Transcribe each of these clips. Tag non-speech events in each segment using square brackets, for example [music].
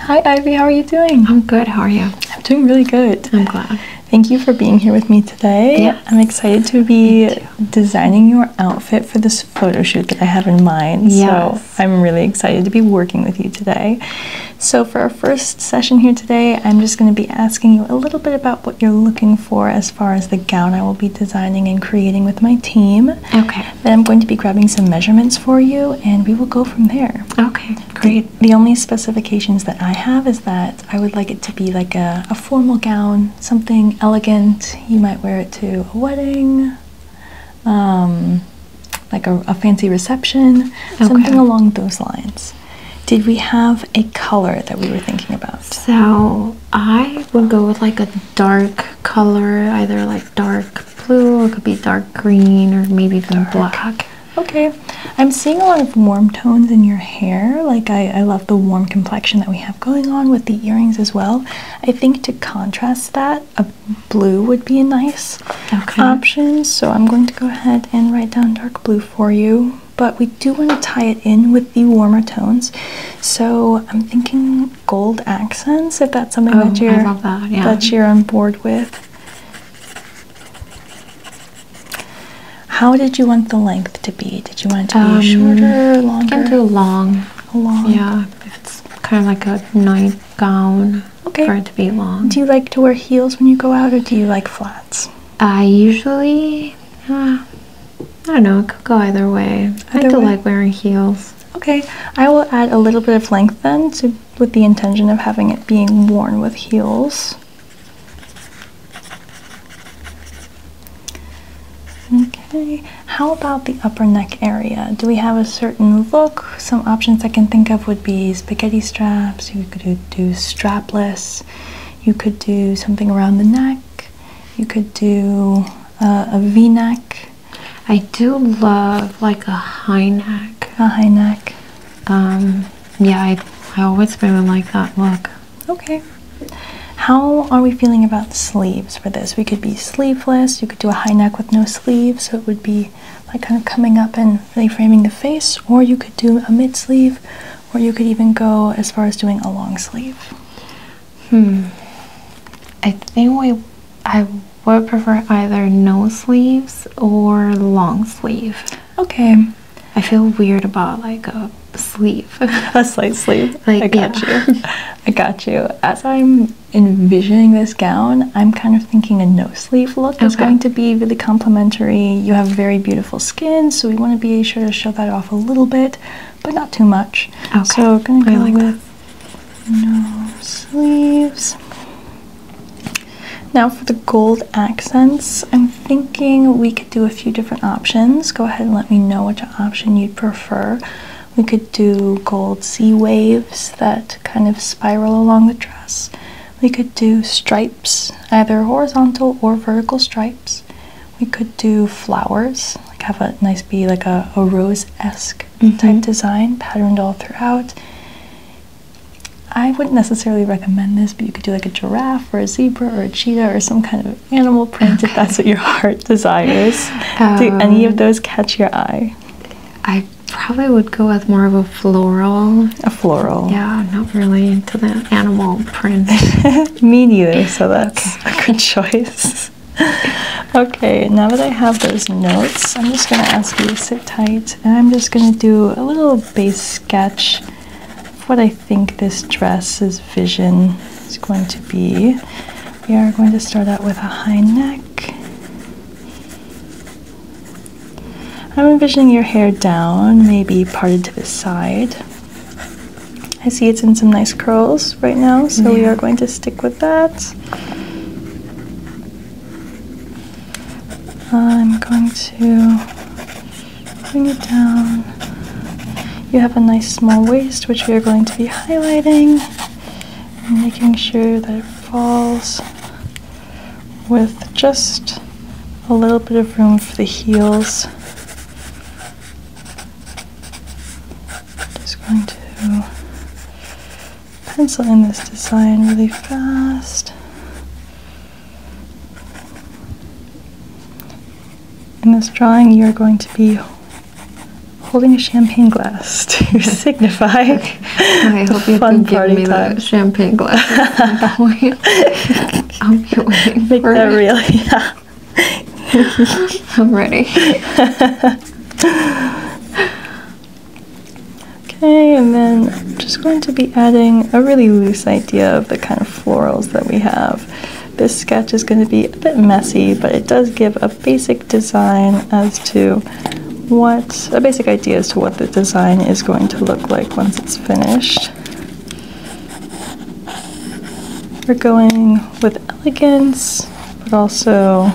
Hi, Ivy. How are you doing? I'm good. How are you? I'm doing really good. I'm glad. Thank you for being here with me today. Yes. I'm excited to be designing your outfit for this photo shoot that I have in mind. Yes. So I'm really excited to be working with you today. So for our first session here today, I'm just going to be asking you a little bit about what you're looking for as far as the gown I will be designing and creating with my team. Okay. Then I'm going to be grabbing some measurements for you and we will go from there. Okay, great. The, only specifications that I have is that I would like it to be like a, formal gown, something elegant. You might wear it to a wedding, um, like a, fancy reception, something along those lines. Did we have a color that we were thinking about? So I would go with like a dark color, either like dark blue it could be dark green or maybe even black. Okay, I'm seeing a lot of warm tones in your hair. Like I, love the warm complexion that we have going on with the earrings as well. I think to contrast that, a blue would be a nice okay. option. So I'm going to go ahead and write down dark blue for you. But we do want to tie it in with the warmer tones. So I'm thinking gold accents if that's something that oh, you're that, you're on board with. How did you want the length to be? Did you want it to be um, shorter, longer? can do long. Long. Yeah, if it's kind of like a nightgown okay. for it to be long. Do you like to wear heels when you go out or do you like flats? I usually, uh, I don't know, it could go either way. I do way. like wearing heels. Okay, I will add a little bit of length then with the intention of having it being worn with heels. Okay, how about the upper neck area? Do we have a certain look? Some options I can think of would be spaghetti straps, you could do strapless, you could do something around the neck. You could do uh, a V-neck. I do love like a high neck. A high neck. Um, yeah, I, I always really like that look. Okay. How are we feeling about sleeves for this? We could be sleeveless. You could do a high neck with no sleeves, so it would be like kind of coming up and really framing the face. Or you could do a mid sleeve, or you could even go as far as doing a long sleeve. Hmm. I think we I would prefer either no sleeves or long sleeve. Okay. I feel weird about like a sleeve. [laughs] a slight sleeve. I got you. I got you. As I'm envisioning this gown, I'm kind of thinking a no sleeve look is going to be really complimentary. You have very beautiful skin, so we want to be sure to show that off a little bit but not too much. Okay. So I'm gonna go like with that. no sleeves. Now for the gold accents, I'm thinking we could do a few different options. Go ahead and let me know which option you'd prefer. We could do gold sea waves that kind of spiral along the dress. We could do stripes, either horizontal or vertical stripes. We could do flowers, like have a nice be like a, a rose-esque mm-hmm. type design patterned all throughout. I wouldn't necessarily recommend this, but you could do like a giraffe or a zebra or a cheetah or some kind of animal print if that's what your heart desires. do um, any of those catch your eye? I probably would go with more of a floral. A floral. Yeah, not really into the animal print. [laughs] Me neither, so that's a good choice. [laughs] okay, now that I have those notes, I'm just going to ask you to sit tight and I'm just going to do a little base sketch of what I think this dress's vision is going to be. We are going to start out with a high neck. I'm envisioning your hair down, maybe parted to the side. I see it's in some nice curls right now, so we are going to stick with that. I'm going to bring it down. You have a nice small waist, which we are going to be highlighting making sure that it falls with just a little bit of room for the heels. Just going to pencil in this design really fast. In this drawing, you're going to be holding a champagne glass [laughs] to [laughs] signify. I hope you fun can give me time. that champagne glass. [laughs] Make that it. [laughs] I'm ready. okay, and then I'm just going to be adding a really loose idea of the kind of florals that we have. This sketch is going to be a bit messy, but it does give a basic design as to what, a basic idea as to what the design is going to look like once it's finished. We're going with elegance, but also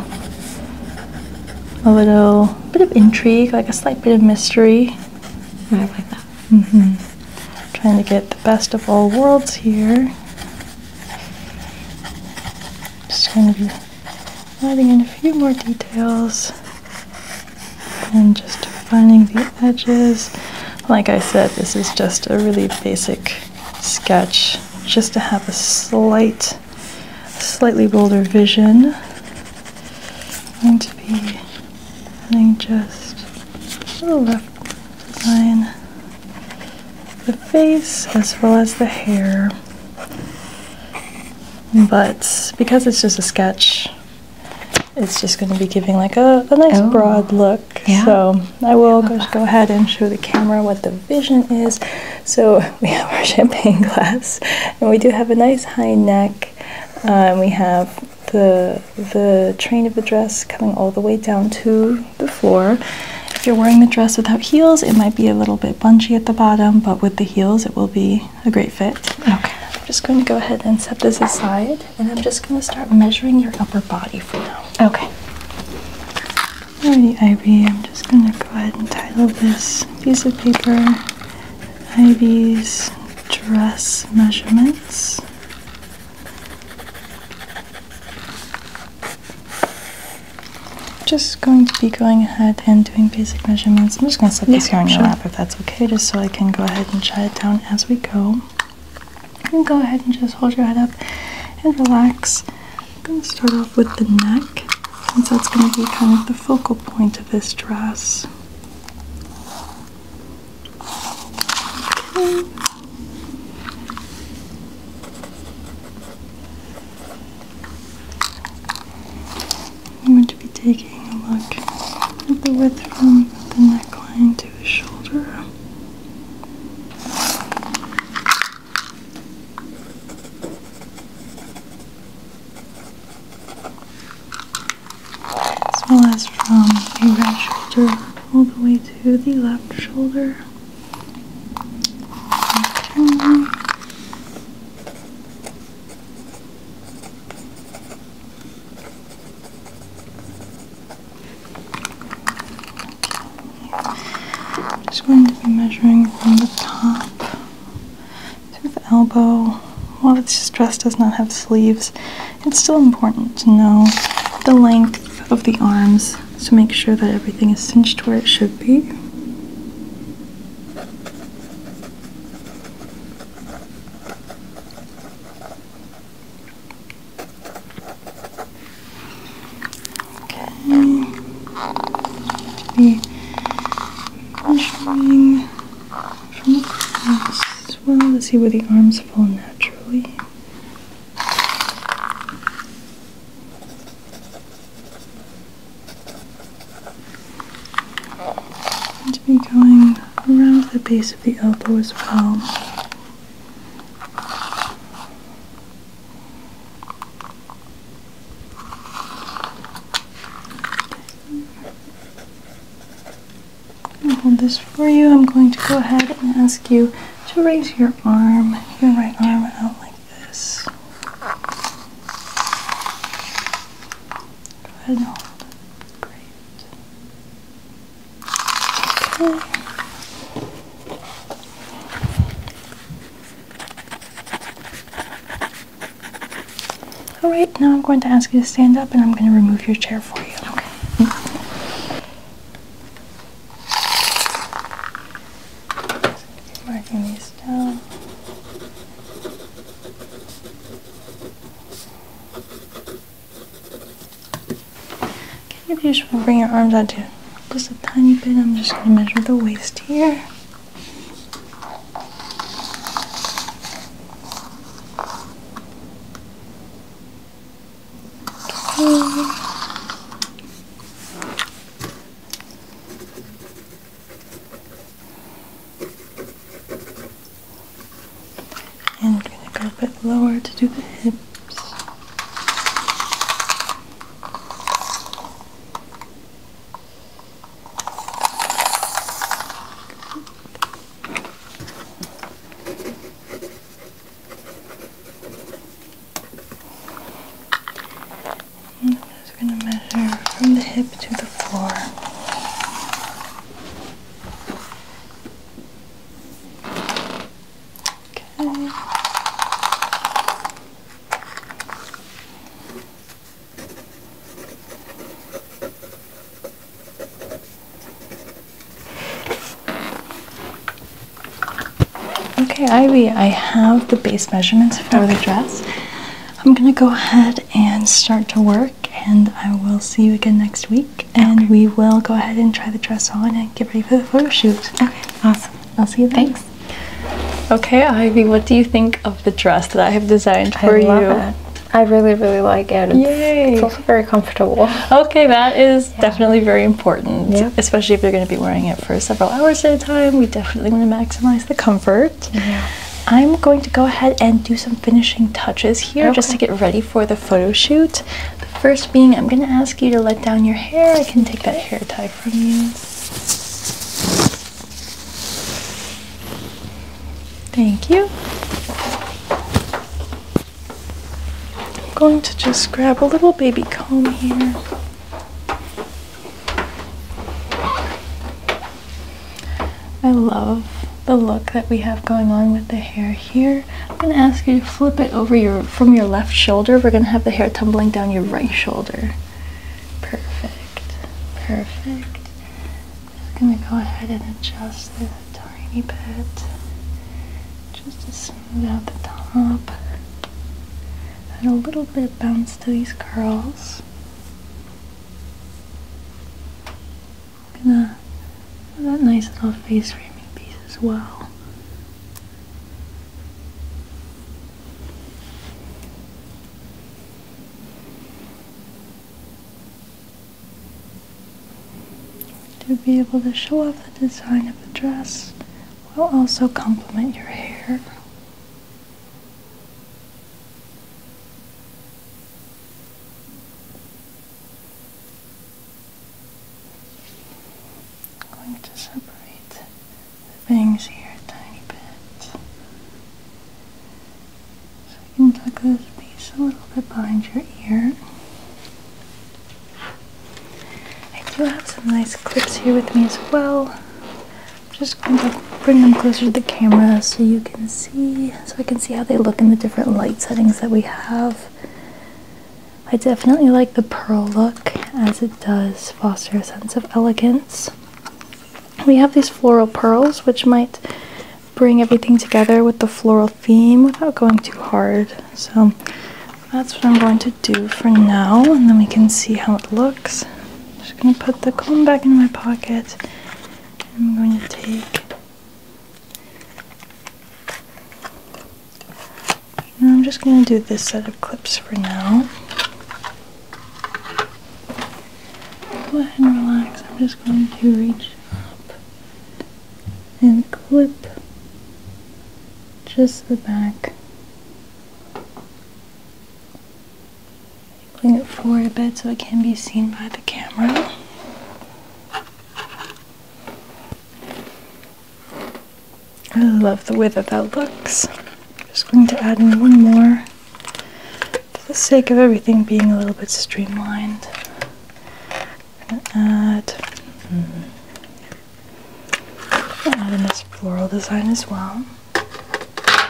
a little bit of intrigue, like a slight bit of mystery. I like that. Mm -hmm. Trying to get the best of all worlds here. Just going to be adding in a few more details and just defining the edges. Like I said, this is just a really basic sketch just to have a slight, slightly bolder vision. I'm going to be running just to the left line, the face as well as the hair. But because it's just a sketch, it's just going to be giving like a, a nice oh. broad look. Yeah. So I will I go ahead and show the camera what the vision is. So [laughs] we have our champagne glass, and we do have a nice high neck. Um, we have the the train of the dress coming all the way down to the floor. If you're wearing the dress without heels, it might be a little bit bunchy at the bottom, but with the heels, it will be a great fit. Okay. I'm just going to go ahead and set this aside. And I'm just going to start measuring your upper body for now. Okay. Alrighty, Ivy. I'm just going to go ahead and title this piece of paper Ivy's dress measurements. Just going to be going ahead and doing basic measurements. I'm just going to set this here on your lap if that's okay, just so I can go ahead and jot it down as we go. And go ahead and just hold your head up and relax. I'm going to start off with the neck, since that's going to be kind of the focal point of this dress. I'm going to be taking look at the width from the neckline to the shoulder. As well as from the right shoulder all the way to the left shoulder. Okay. I'm Just going to be measuring from the top to the elbow. While this dress does not have sleeves, it's still important to know the length of the arms to make sure that everything is cinched where it should be. Okay. Be measuring from across as well to see where the arms fall naturally. And to be going around the base the elbow as well. hold this for you. I'm going to go ahead and ask you to raise your arm, your right arm out like this. All right, now I'm going to ask you to stand up and I'm going to remove your chair for you. Okay. marking these down. Okay, if you just want to bring your arms out to just a tiny bit, I'm just going to measure the waist here. And we're going to go a bit lower to do the hips. I'm just going to measure from the hip to the floor. Okay. Okay, Ivy, I have the base measurements for the dress. I'm gonna go ahead and start to work and I will see you again next week. And we will go ahead and try the dress on and get ready for the photo shoot. Okay, awesome. I'll see you Thanks. Okay, Ivy, what do you think of the dress that I have designed for I love you? I really, really like it. It's, Yay. it's also very comfortable. Okay, that is definitely very important, especially if you're going to be wearing it for several hours at a time. We definitely want to maximize the comfort. I'm going to go ahead and do some finishing touches here just to get ready for the photo shoot. The first being, I'm going to ask you to let down your hair. I can take that hair tie from you. Thank you. I'm going to just grab a little baby comb here. I love the look that we have going on with the hair here. I'm going to ask you to flip it over your from your left shoulder. We're going to have the hair tumbling down your right shoulder. Perfect. Perfect. I'm going to go ahead and adjust this a tiny bit just to smooth out the top. and a little bit of bounce to these curls. I'm gonna have that nice little face framing piece as well. To be able to show off the design of the dress while also complement your hair. I'm going to separate the bangs here a tiny bit. So you can tuck this piece a little bit behind your ear. I do have some nice clips here with me as well. just going to bring them closer to the camera so you can see so I can see how they look in the different light settings that we have. I definitely like the pearl look as it does foster a sense of elegance. We have these floral pearls which might bring everything together with the floral theme without going too hard. So that's what I'm going to do for now and then we can see how it looks. just going to put the comb back in my pocket I'm going to take. I'm just going to do this set of clips for now. Go ahead and relax. I'm just going to reach up and clip just the back Bring it forward a bit so it can be seen by the camera. I love the way that that looks. I'm just going to add in one more for the sake of everything being a little bit streamlined. I'm gonna add, mm add in this floral design as well. Just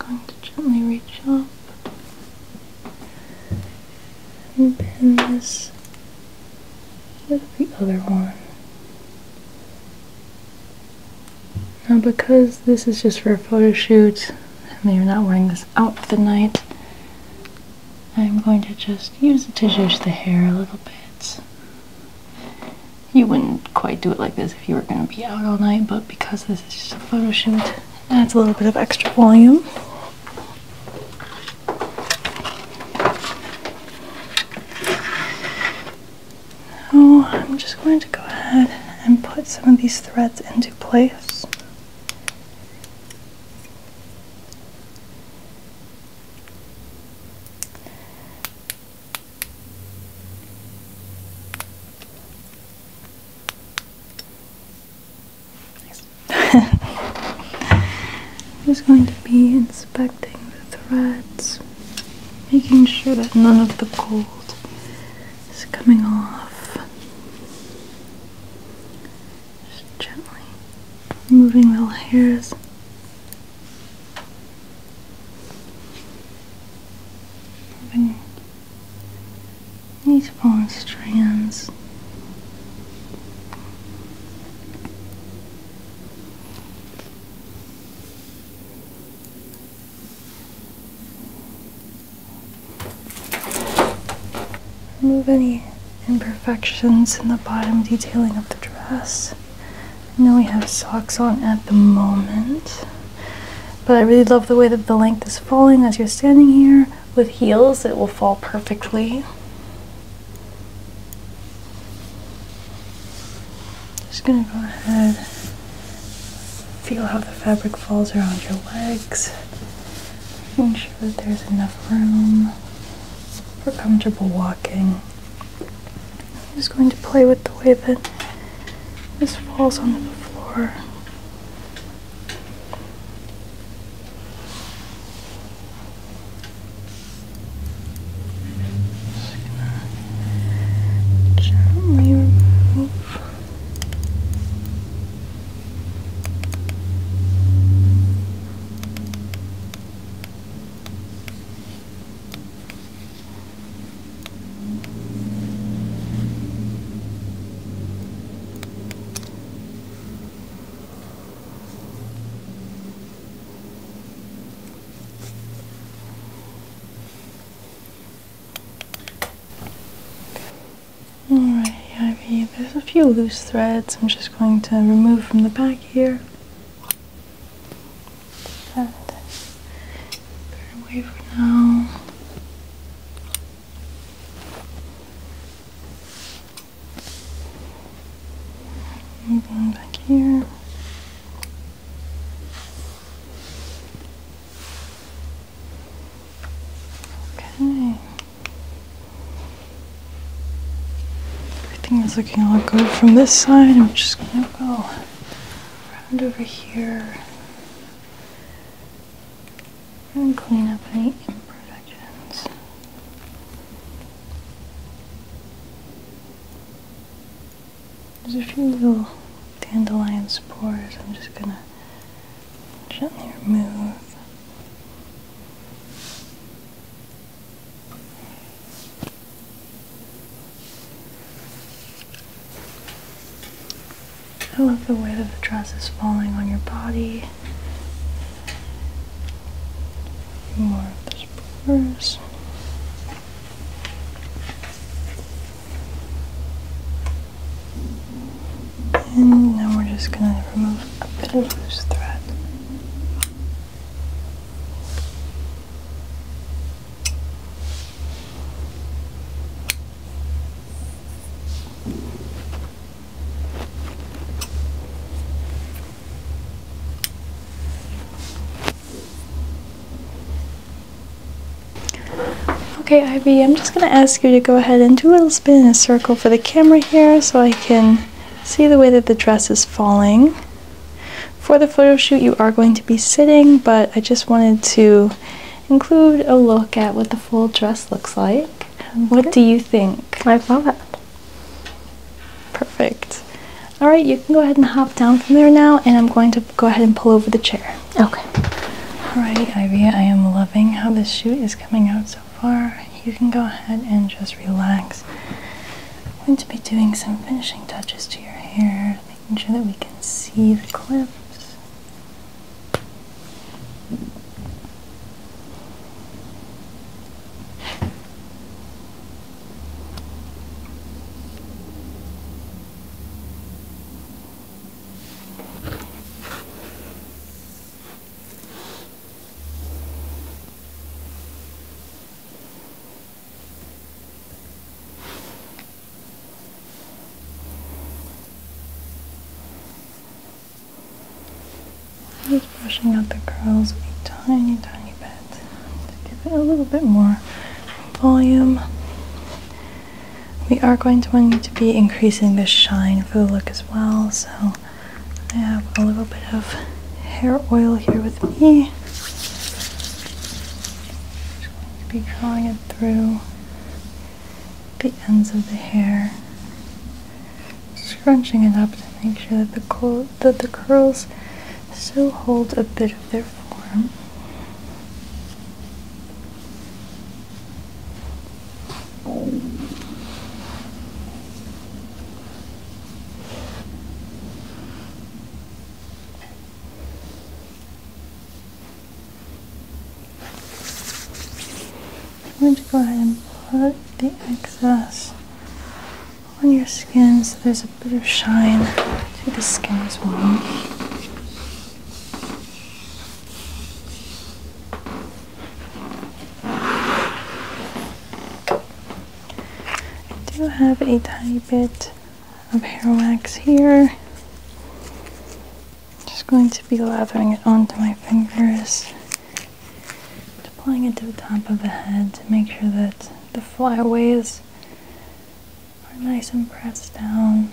going to gently reach up and pin this with the other one. Now because this is just for a photo shoot, I mean are not wearing this out for the night, I'm going to just use it to to the hair a little bit you wouldn't quite do it like this if you were going to be out all night, but because this is just a photo shoot, adds a little bit of extra volume. So I'm just going to go ahead and put some of these threads into place. Just [laughs] going to be inspecting the threads, making sure that none of the gold is coming off. Just gently moving little hairs Moving these in strands remove any imperfections in the bottom detailing of the dress now we have socks on at the moment. But I really love the way that the length is falling as you're standing here. With heels, it will fall perfectly. Just gonna go ahead, feel how the fabric falls around your legs. Making sure that there's enough room for comfortable walking. I'm just going to play with the way that this falls on the floor. Alright, Ivy, there's a few loose threads I'm just going to remove from the back here. And away for now. Moving back here. Okay. Everything is looking all good from this side. I'm just gonna go around over here and clean up any imperfections. There's a few little dandelion spores. I'm just gonna gently remove. I love the way that the dress is falling on your body. More of And now we're just going to remove a bit of loose thread. Okay, Ivy, I'm just going to ask you to go ahead and do a little spin in a circle for the camera here so I can see the way that the dress is falling. For the photo shoot, you are going to be sitting, but I just wanted to include a look at what the full dress looks like. What do you think? I love it. Perfect. All right, you can go ahead and hop down from there now, and I'm going to go ahead and pull over the chair. Okay. All right, Ivy, I am loving how this shoot is coming out so far. You can go ahead and just relax. I'm going to be doing some finishing touches to your hair, making sure that we can see the clips. Just brushing out the curls a tiny, tiny bit to give it a little bit more volume. We are going to want to be increasing the shine for the look as well, so I have a little bit of hair oil here with me. Just going to be drawing it through the ends of the hair, scrunching it up to make sure that the, curl that the curls still hold a bit of their form. I'm going to go ahead and put the excess on your skin so there's a bit of shine to the skin as well. I do have a tiny bit of hair wax here. Just going to be lathering it onto my fingers, applying it to the top of the head to make sure that the flyaways are nice and pressed down.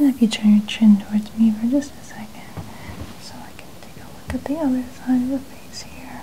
if you turn your chin towards me for just a second, so I can take a look at the other side of the face here.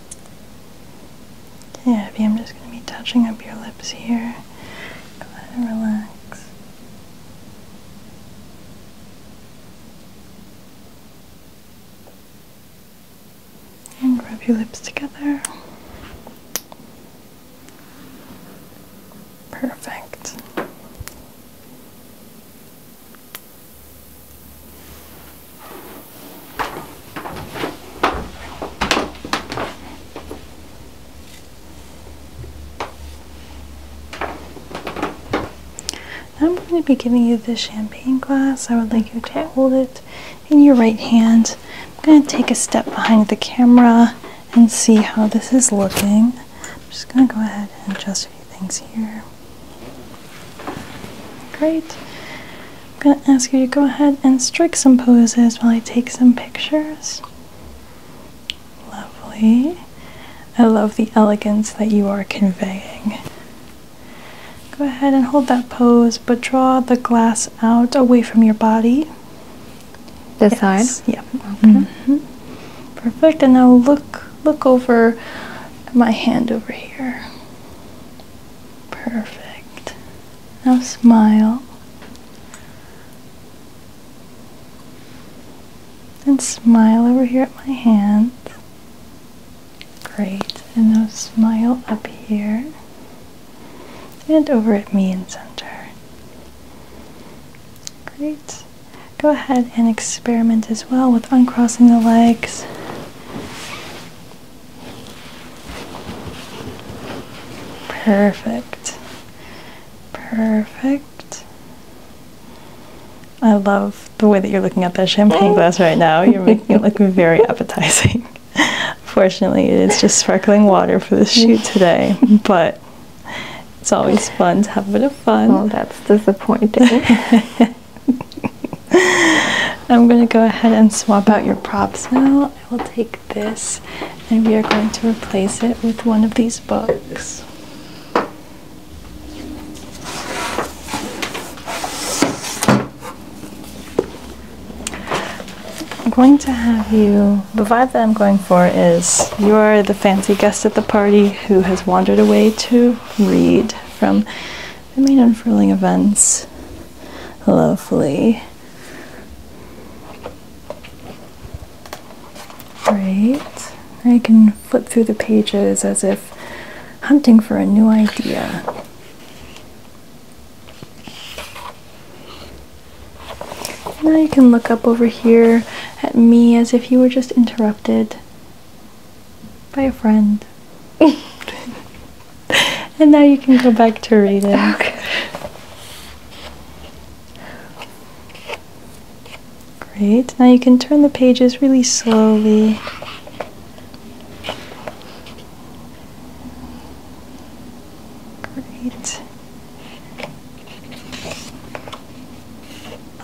Yeah, I'm just going to be touching up your lips here. Go ahead and relax. And rub your lips together. Perfect. I'm going to be giving you the champagne glass. I would like you to hold it in your right hand. I'm going to take a step behind the camera and see how this is looking. I'm just going to go ahead and adjust a few things here. Great. I'm going to ask you to go ahead and strike some poses while I take some pictures. Lovely. I love the elegance that you are conveying. Go ahead and hold that pose, but draw the glass out away from your body. This yes. side? Yep. Okay. Mm-hmm. Perfect. And now look look over my hand over here. Perfect. Now smile and smile over here at my hands. Great. And now smile up here and over at me and center. Great. Go ahead and experiment as well with uncrossing the legs Perfect. Perfect. I love the way that you're looking at that champagne glass right now. You're making it look very [laughs] appetizing. Fortunately, it is just sparkling water for the shoot today, but it's always fun to have a bit of fun. Well, that's disappointing. [laughs] I'm going to go ahead and swap out your props now. I will take this and we are going to replace it with one of these books. I'm going to have you, the vibe that I'm going for is you are the fancy guest at the party who has wandered away to read from the main unfurling events Lovely. Great. I can flip through the pages as if hunting for a new idea. Now you can look up over here at me as if you were just interrupted by a friend. [laughs] and now you can go back to reading. Okay. Great. Now you can turn the pages really slowly. Great.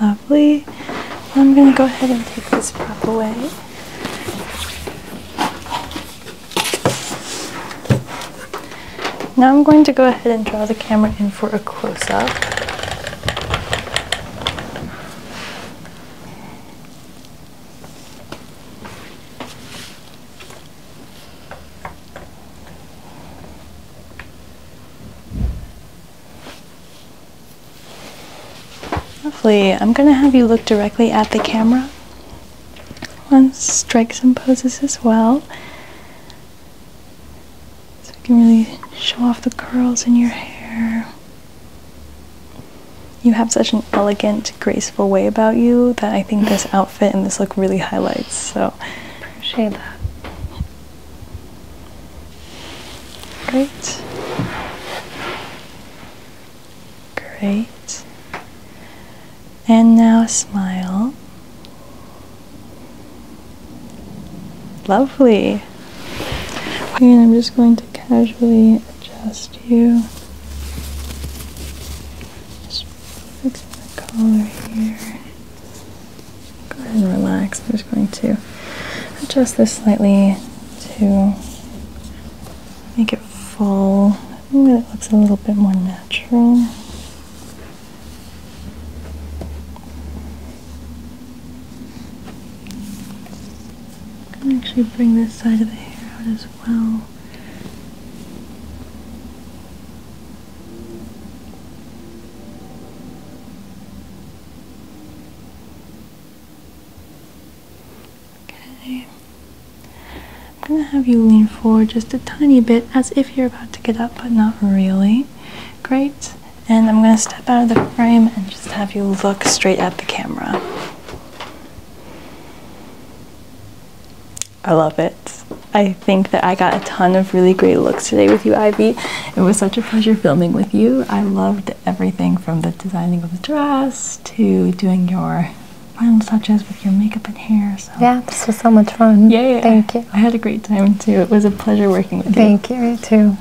Lovely. I'm going to go ahead and take this prop away. Now I'm going to go ahead and draw the camera in for a close-up. Hopefully, I'm going to have you look directly at the camera. Let's strike some poses as well. So we can really show off the curls in your hair. You have such an elegant, graceful way about you that I think this outfit and this look really highlights. So appreciate that. Great. Great. And now smile. Lovely. And I'm just going to casually adjust you. Just fixing the collar here. Go ahead and relax. I'm just going to adjust this slightly to make it fall. Maybe that looks a little bit more natural. I can actually bring this side of the hair out as well. Okay. I'm gonna have you lean forward just a tiny bit as if you're about to get up, but not really. Great. And I'm gonna step out of the frame and just have you look straight at the camera. I love it. I think that I got a ton of really great looks today with you, Ivy. It was such a pleasure filming with you. I loved it everything from the designing of the dress to doing your final touches with your makeup and hair. So. Yeah, this was so much fun. Yeah, thank you. I had a great time too. It was a pleasure working with you. Thank you too.